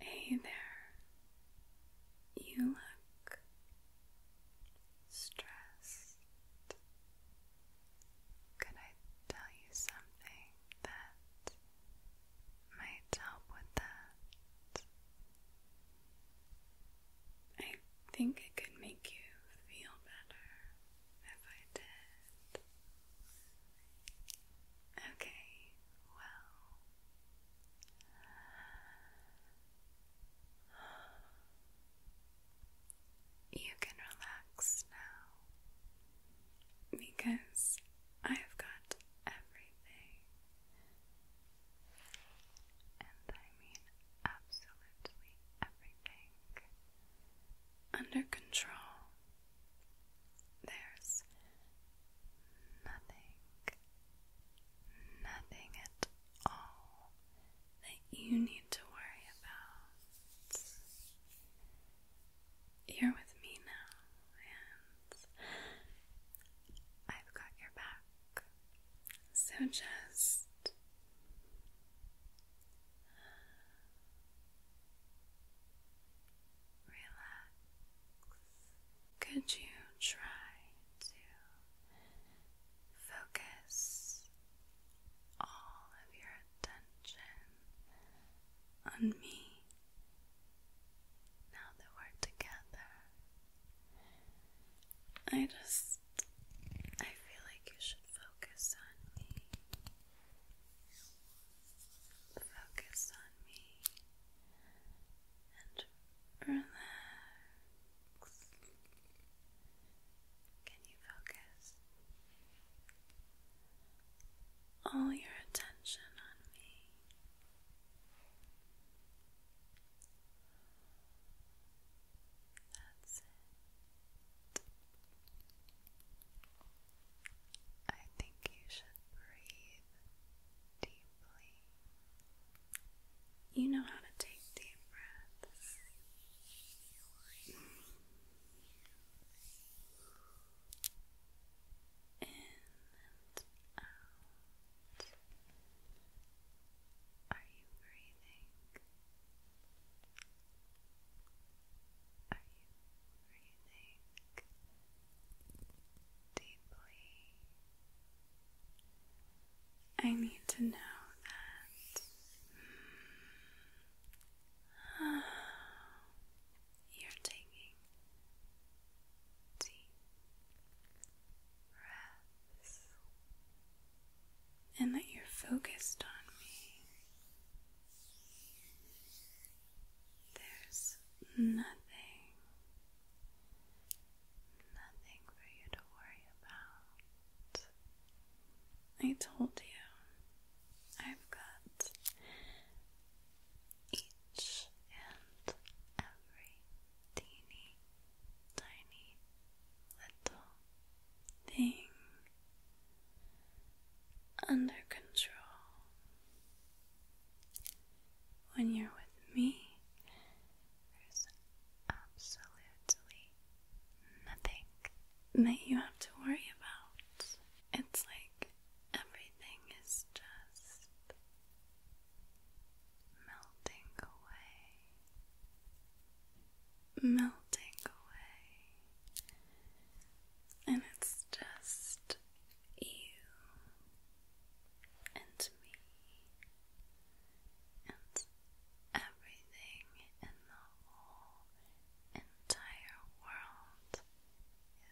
Hey there. You look stressed. Could I tell you something that might help with that? I think it could make you feel better if I did. Okay, well, you can relax now because I've got everything, and I mean absolutely everything under control. There's nothing, nothing at all that you need to worry about. You're with me now, and I've got your back. So just relax. Could you try to focus all of your attention on me now that we're together? I just, I feel like you should focus on me. Focus me and relax. Can you focus all your attention on me? That's it. I think you should breathe deeply. You know how to take deep breaths. In and out. Are you breathing? Are you breathing deeply. I need to know that you're taking deep breaths and that you're focused on me. There's nothing, nothing for you to worry about. I told you, I've got each and every teeny tiny little thing under control. When you're with me, there's absolutely nothing that you have to worry about. It's like everything is just melting away. Melting away. And it's just you and me and everything in the whole entire world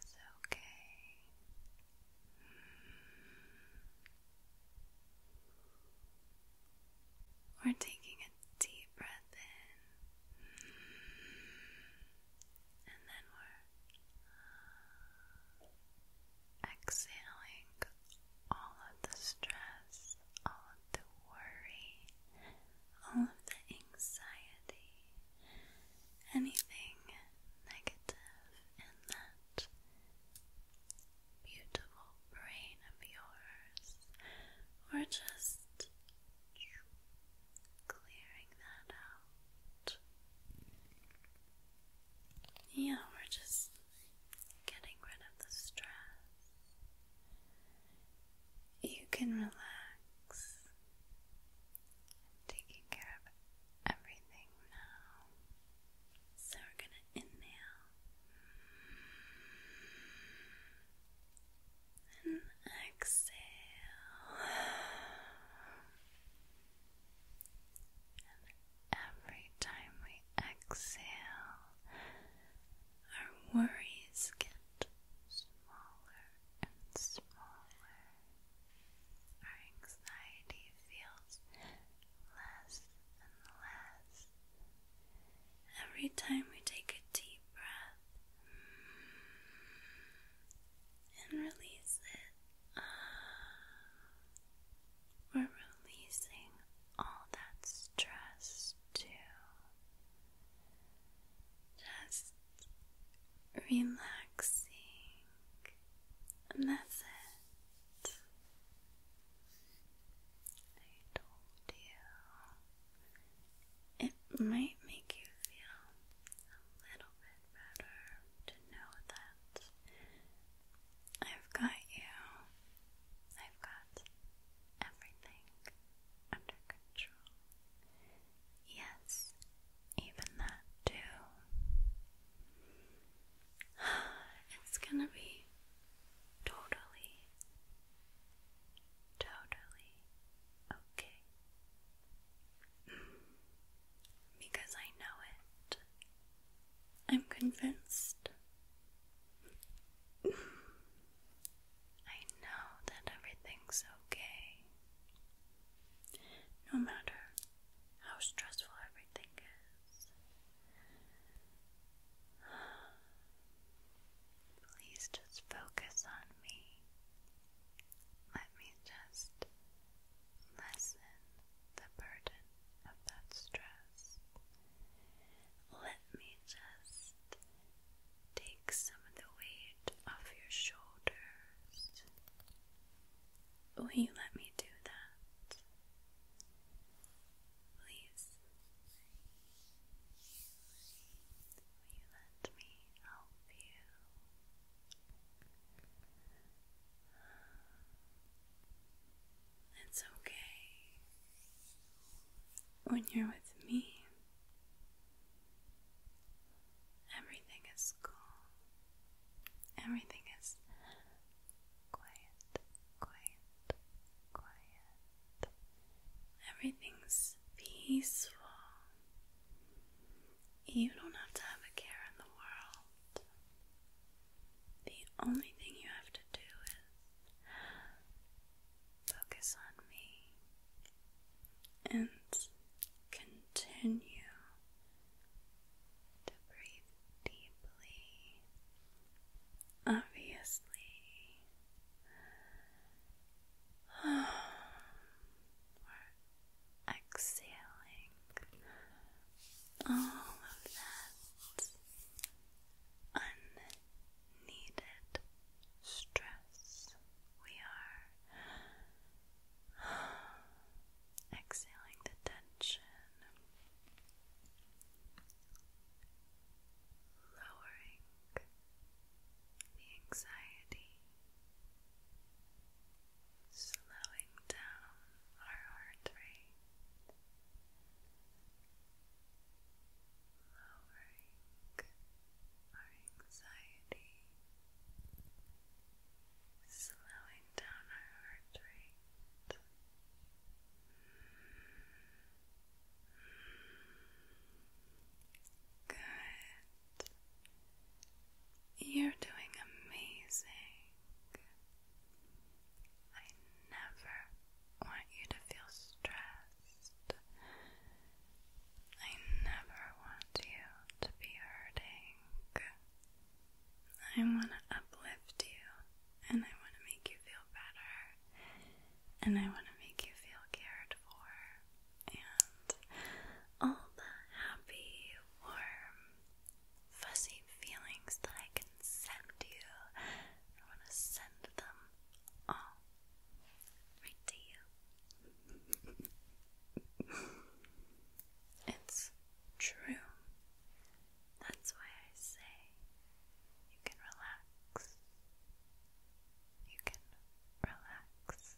is okay. We're taking a deep breath in, and then we're Exhaling all of the stress, all of the worry, all of the anxiety, anything negative in that beautiful brain of yours, or just clearing that out. Yeah, we're just getting rid of the stress. You can relax. i taking care of everything now. So we're going to inhale and exhale every time we exhale, our worries get smaller and smaller. Our anxiety feels less and less. Every time we take a deep breath, and release it. Uh, we're releasing all that stress too. Just relaxing, that's it. I told you it might make you feel a little bit better to know that I've got you. I've got everything under control. Yes, even that too. It's gonna be totally, totally okay. Because I know it. I'm convinced. I know that everything's okay. No matter how stressful everything is. Please just focus on me. Let me just lessen the burden of that stress. Let me just take some of the weight off your shoulders. Will you let me do that? Please. Will you let me help you? It's okay when you're with me. Everything is cool. Everything is quiet, quiet, quiet. Everything's peaceful. You don't have to have a care in the world. The only thing you have to do is focus on me and continue to breathe deeply. Obviously, exhaling all of that unneeded stress. We are exhaling the tension. Lowering the anxiety, slowing down our heart rate, lowering our anxiety, slowing down our heart rate. Good. You're doing amazing. I never want you to feel stressed. I never want you to be hurting. I want to uplift you and I want to make you feel better and I want to make you feel cared for and all the happy, warm, fuzzy feelings that I can send you. I want to send them all right to you. it's true. That's why I say you can relax. You can relax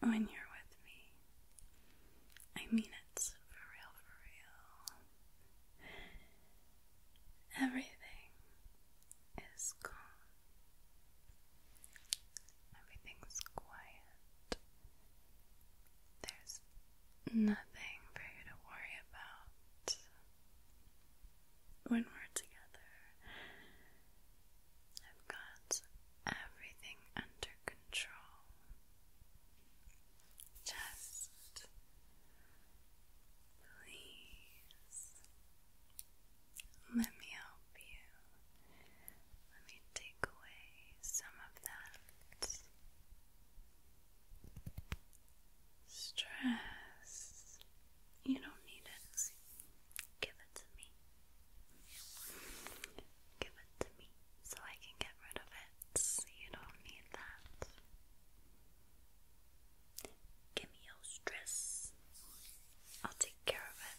when you're with me. I mean it for real, for real. Everything is calm, everything's quiet. There's nothing for you to worry about when we're together. I've got everything under control. Just please let me help you. Let me take away some of that stress. You don't need it. Give it to me. Give it to me so I can get rid of it. You don't need that. Give me your stress. I'll take care of it.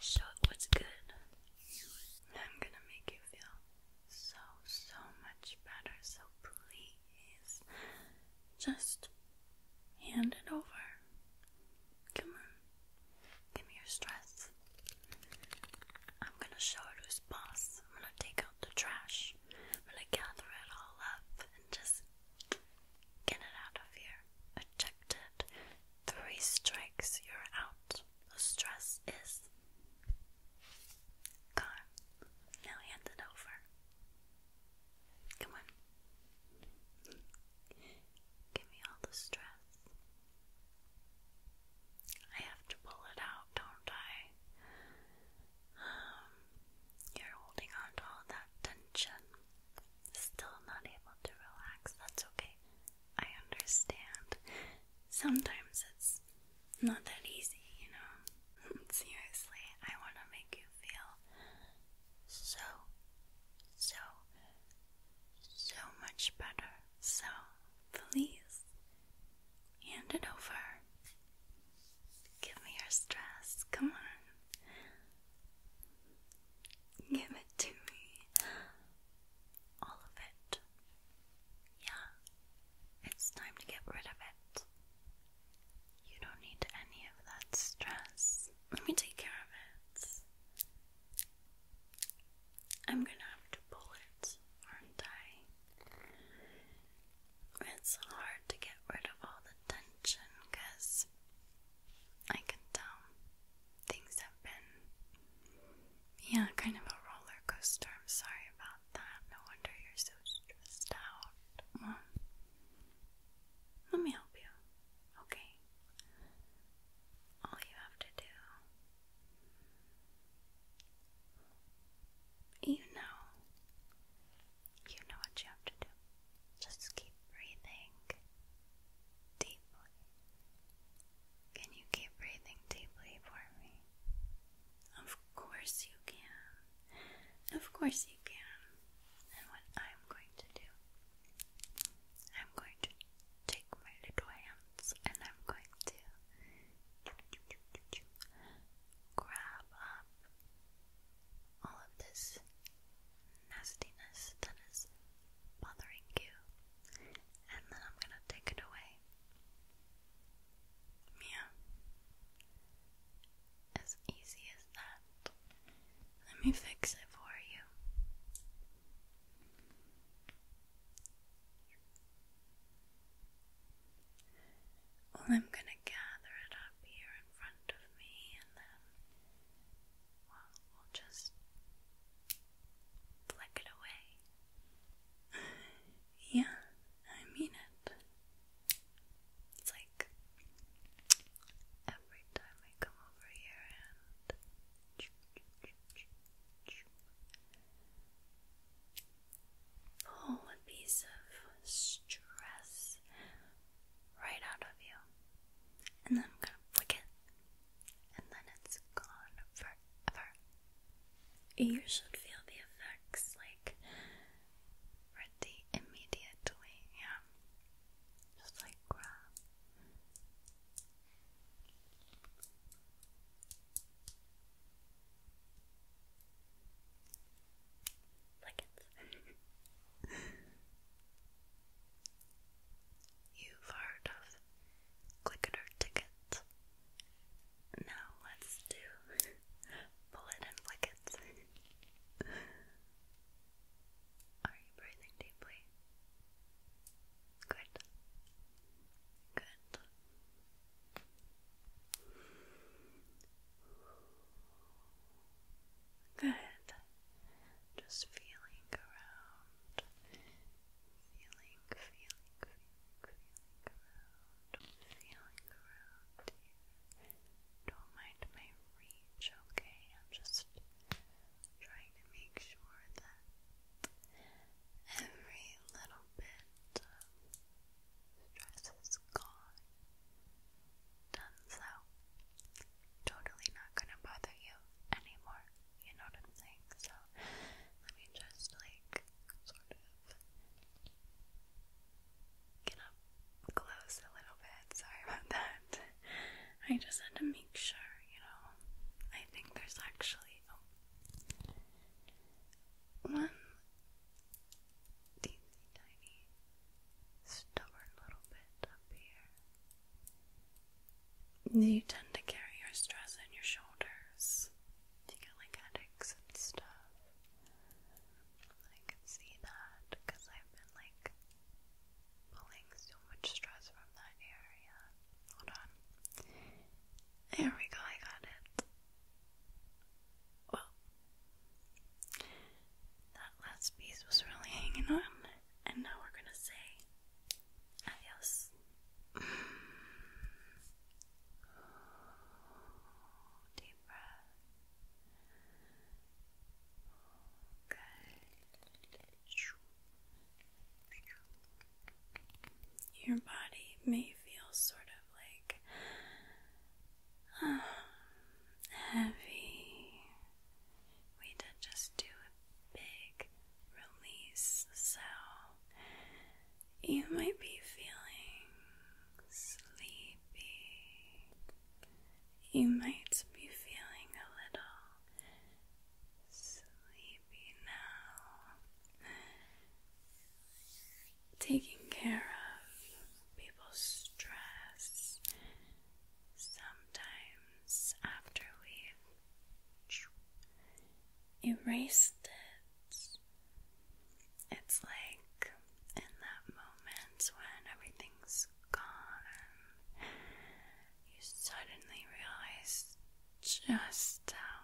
Show it what's good. I'm gonna make you feel so, so much better. So please, just hand it over. Come on. Give me your stress. I'm gonna show it who's boss. I'm gonna take out the trash. I'm gonna gather it all up and just get it out of here. Ejected. Three strikes, you're out. The stress is gone. Now hand it over. Come on. Give me all the stress. I have to pull it out, don't I? Um, you're holding on to all that tension. Still not able to relax. That's okay. I understand. Sometimes it's not that easy, you know. Seriously, I want to make you feel so, so so much better. So please hand it over. Give me your stress. Come on. Give it to me. All of it. Yeah. It's time to get rid of it. You don't need any of that stress. Let me take care of it. I'm gonna have to pull it, aren't I? It's hard to get rid of all the tension because I can tell things have been, yeah, kind of a roller coaster. I'm sorry about that. No wonder you're so stressed out. Let me help you, okay? All you have to do. You know. You know what you have to do. Just keep breathing deeply. Can you keep breathing deeply for me? Of course you can. Of course you can. And what I'm going to do I'm going to take my little hands and I'm going to grab all of this nastiness that is bothering you, and then I'm gonna take it away. Mia, as easy as that. Let me fix it for you. I'm gonna gather it up here in front of me, and then well, we'll just flick it away. yeah, I mean it. It's like every time I come over here and pull a piece of stress right out of you, and I'm gonna flick it, and then it's gone forever. You should feel the effects like pretty immediately, yeah. Just like grab. Like it's You've heard of Clicker tickets. Now let's do bullet and flickets. Are you breathing deeply? Good. Good. Good. Just feeling around. Feeling, feeling, feeling, around. Feeling around don't mind my reach, okay? I'm just trying to make sure that every little bit of stress is gone. Done so. Totally not gonna bother you anymore. You know what I'm saying? So let me just like sort of get close a little bit. Sorry about that. I just had to make sure, you know. I think there's actually oh, one tiny stubborn little bit up here. You tend to carry your stress in your shoulders. You get like headaches and stuff. I can see that because I've been like pulling so much stress from that area. Hold on. There we go, I got it. Well, that last piece was really hanging on, and now we're gonna say adios. Deep breath. Your body may feel sort of like um, heavy. We did just do a big release, so you might be feeling sleepy you might be feeling a little sleepy now. Taking care of people's stress sometimes after we erased it, it's like in that moment when everything's gone, you suddenly realize just how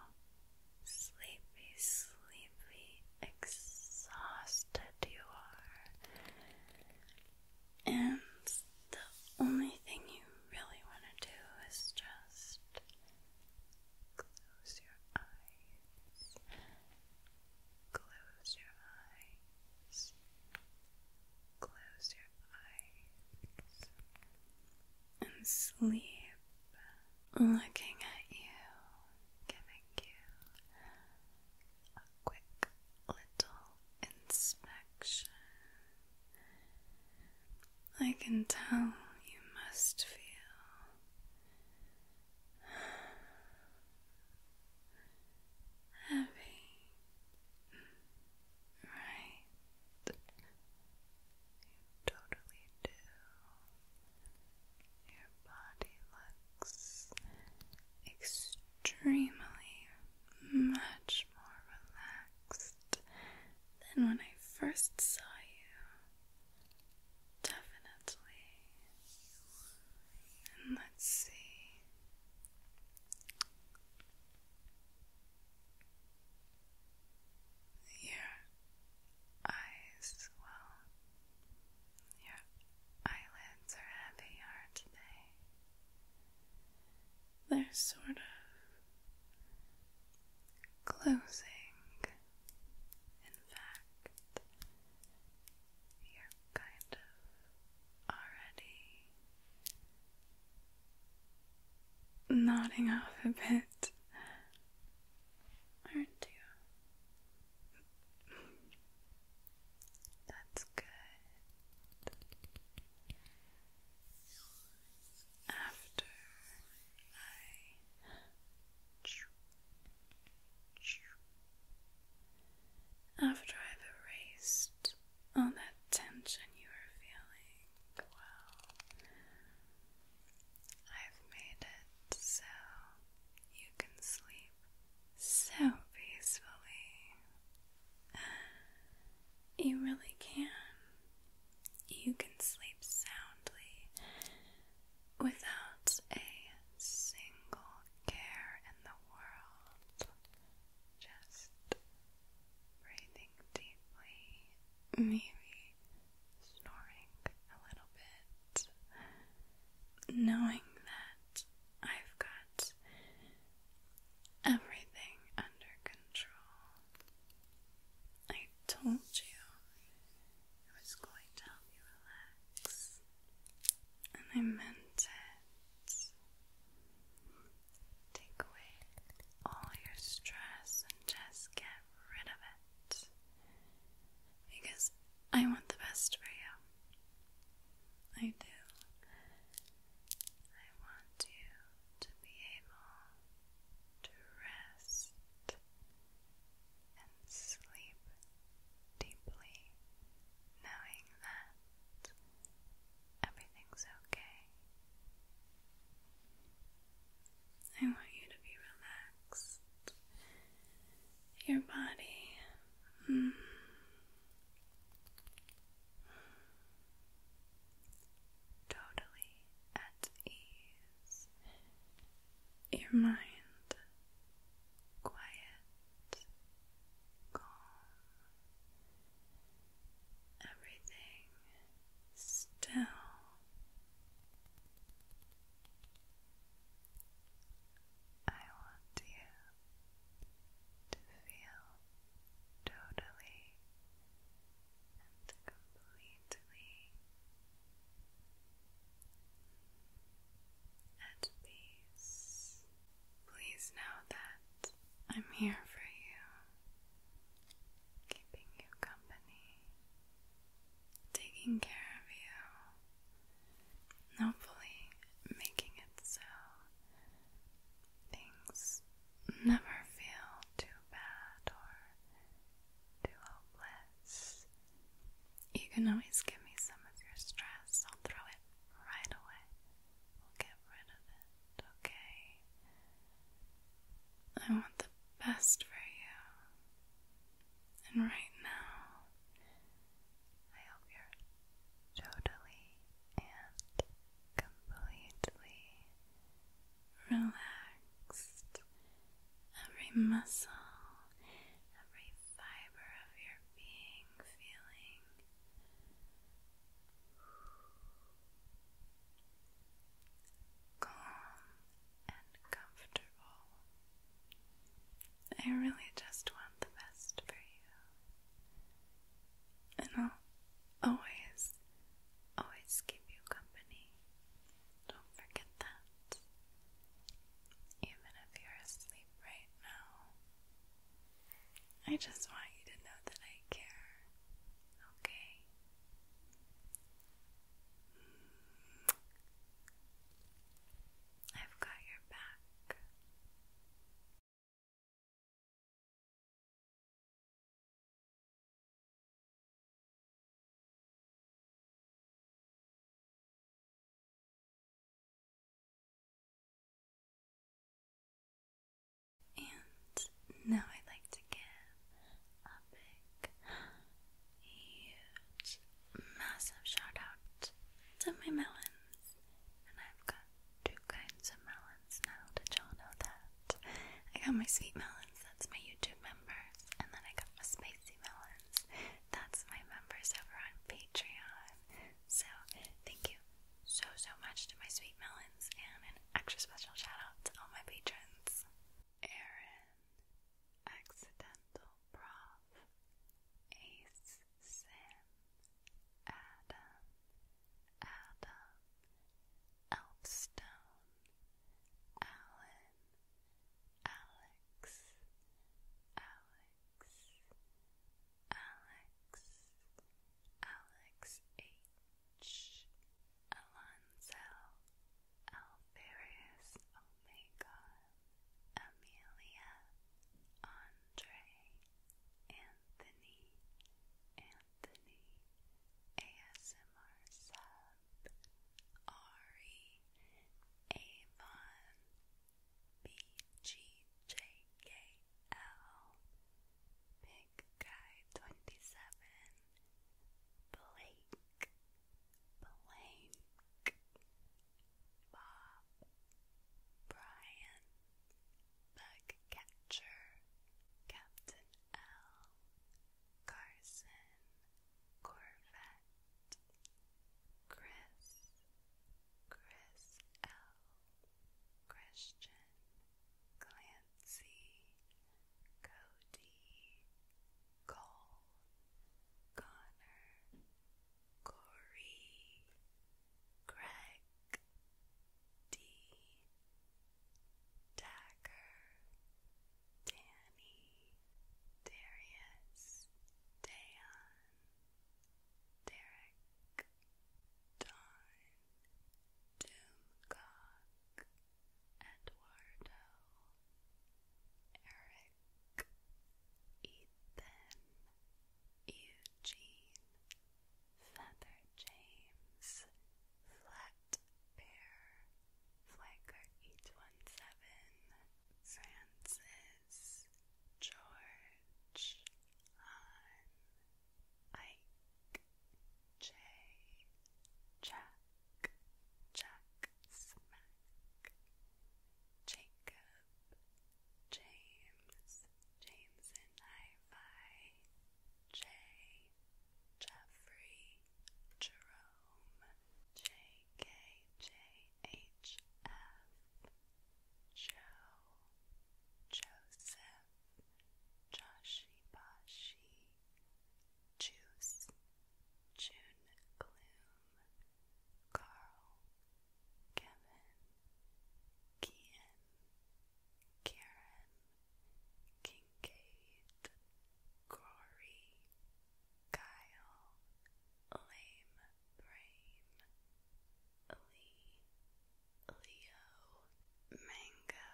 sleepy, sleepy, exhausted you are. And the only thing you really want to do is just close your eyes. Close your eyes. Close your eyes and sleep looking at you, giving you a quick little inspection. I can tell you must feel heavy. Right. You totally do. Your body looks extremely much more relaxed than when I first saw you. Definitely. And let's see your eyes well. Your eyelids are heavy, aren't they? They're sort of closing. In fact, you're kind of already nodding off a bit, aren't you? That's good. After I after I've erased all that tension you were feeling, well, I've made it so you can sleep so peacefully. You really can. You can sleep soundly without a single care in the world. Just breathing deeply, maybe snoring a little bit, knowing that I've got everything under control. I told you I was going to help you relax and I meant it. Take away all your stress and just get rid of it. Because I want the best for you. I do. I want you to be able to rest and sleep deeply, knowing that Everything's okay. I want you to be relaxed. Your body. Mm. totally at ease. Your mind quiet calm, everything still. I want you to feel totally and completely at peace Please know that I'm here for you, keeping you company, taking care of you, hopefully making it so things never feel too bad or too hopeless. You can always give me some of your stress, I'll throw right away. We'll get rid of it, okay? I want the best for you. And right now, I hope you're totally and completely relaxed. Every muscle, every fiber of your being, feeling. Calm and comfortable. I really just want the best for you. And I'll always, always keep you company. Don't forget that. Even if you're asleep right now, I just want you to know that I care, okay? Mm. I've got your back. And now I'd like to give a big, huge, massive shout out to my melons. And I've got two kinds of melons now. Did y'all know that? I got my sweet melons, that's my YouTube members, and then I got my spicy melons, that's my members over on Patreon. So thank you so so much to my sweet melons and an extra special shout out to all my patrons. Aaron, Accidental Prof, Ace Sam, Adam, Adam, Elfstone, Alan, Alex, Alex. Alex, Alex H, Alonso, Alvarius Omega, Amelia, Andre, Anthony, Anthony, ASMR sub, Ari, Avon, BGJKL, Big Guy 27, Blake, Blank, Bob, Brian, Bug Catcher, Captain L, Carson, Corvette, Chris, Chris L. Christian Clancy Cody Cole Connor Corey Greg D Dagger Danny Darius Dayon Derek, Don, Doomcock, Eduardo, Eric, Ethan, Eugene, Feather James, Flat Bear, Flanker 817, Francis, George on Jack Jack Jacob James James and J Jeffrey Jerome J KJHF, Joe, Joseph, Joshibashi, Juice, June Gloom, Carl, Kevin, Kian, Karen, Kincaid, Corey, Kyle, Lame, Brain, Lee, Leo, Mango,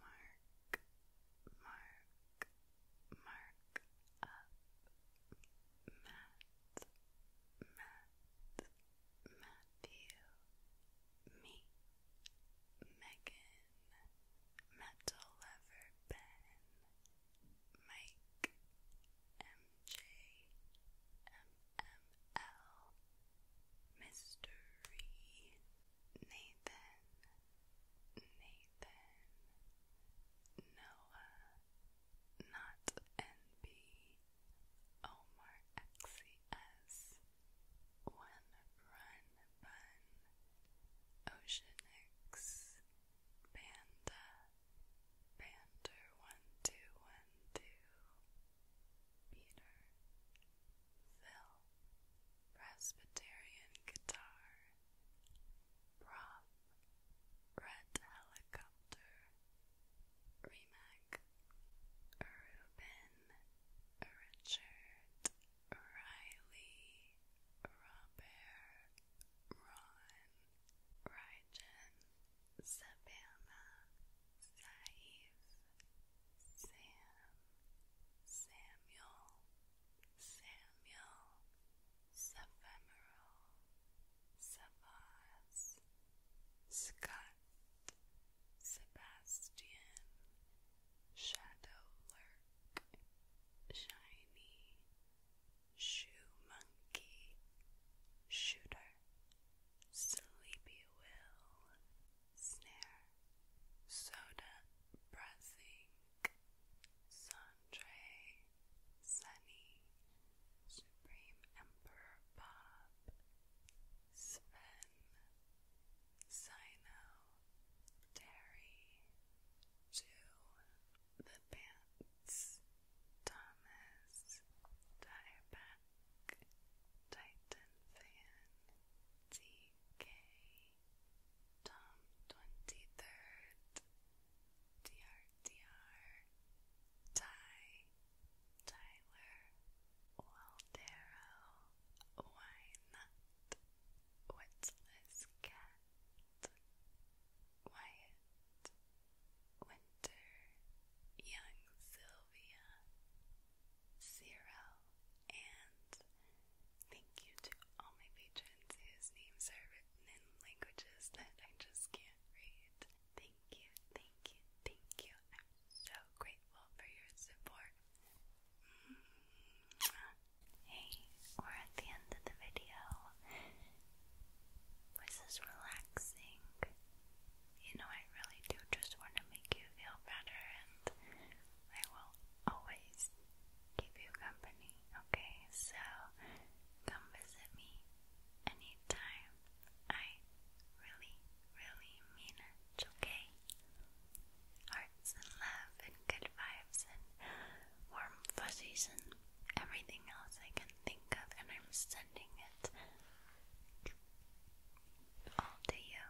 Mark, Mark, Mark up, Matt, Matt, Matthew, me, Megan, Metal Lover Ben, make MJMML Mystery Nathan Nathan Noah Not NB Omar XCS One Run Bun Oceanix Panda, Pander, one, two, one, two. Peter, Phil, Presbyterian guitar. Prof, Red helicopter. Remac, Ruben, Richard, Riley, Robert, Ron. Rajan, Savannah, Saif, Sam, Samuel, Samuel, Sephemeral, Savas, Scott, Sebastian, Shadow Lurk, Shiny, shoe monkey, shooter, sleepy snare, soda, breathing, Sandre, sunny, supreme emperor Bob, Sven, Sino, Terry, Two, the pants, Thomas, Tireback, Titan Fan, Tom 23rd, DRDR, Ty, Tyler, Waldero, Why Not, Witless Cat, Wyatt, Winter, young Sylvia, Cyril, and thank you to all my patrons whose names are written in languages that I just can't read. Thank you, thank you, thank you. I'm so grateful for your support. Hey, we're at the end of the video. This is relaxing. You know, I really do just want to make you feel better, and I will always keep you company, okay? So, come visit me anytime. I really, really mean it, okay? Hearts and love and good vibes and warm fuzzies and everything else I can think of, and I'm sending it all to you.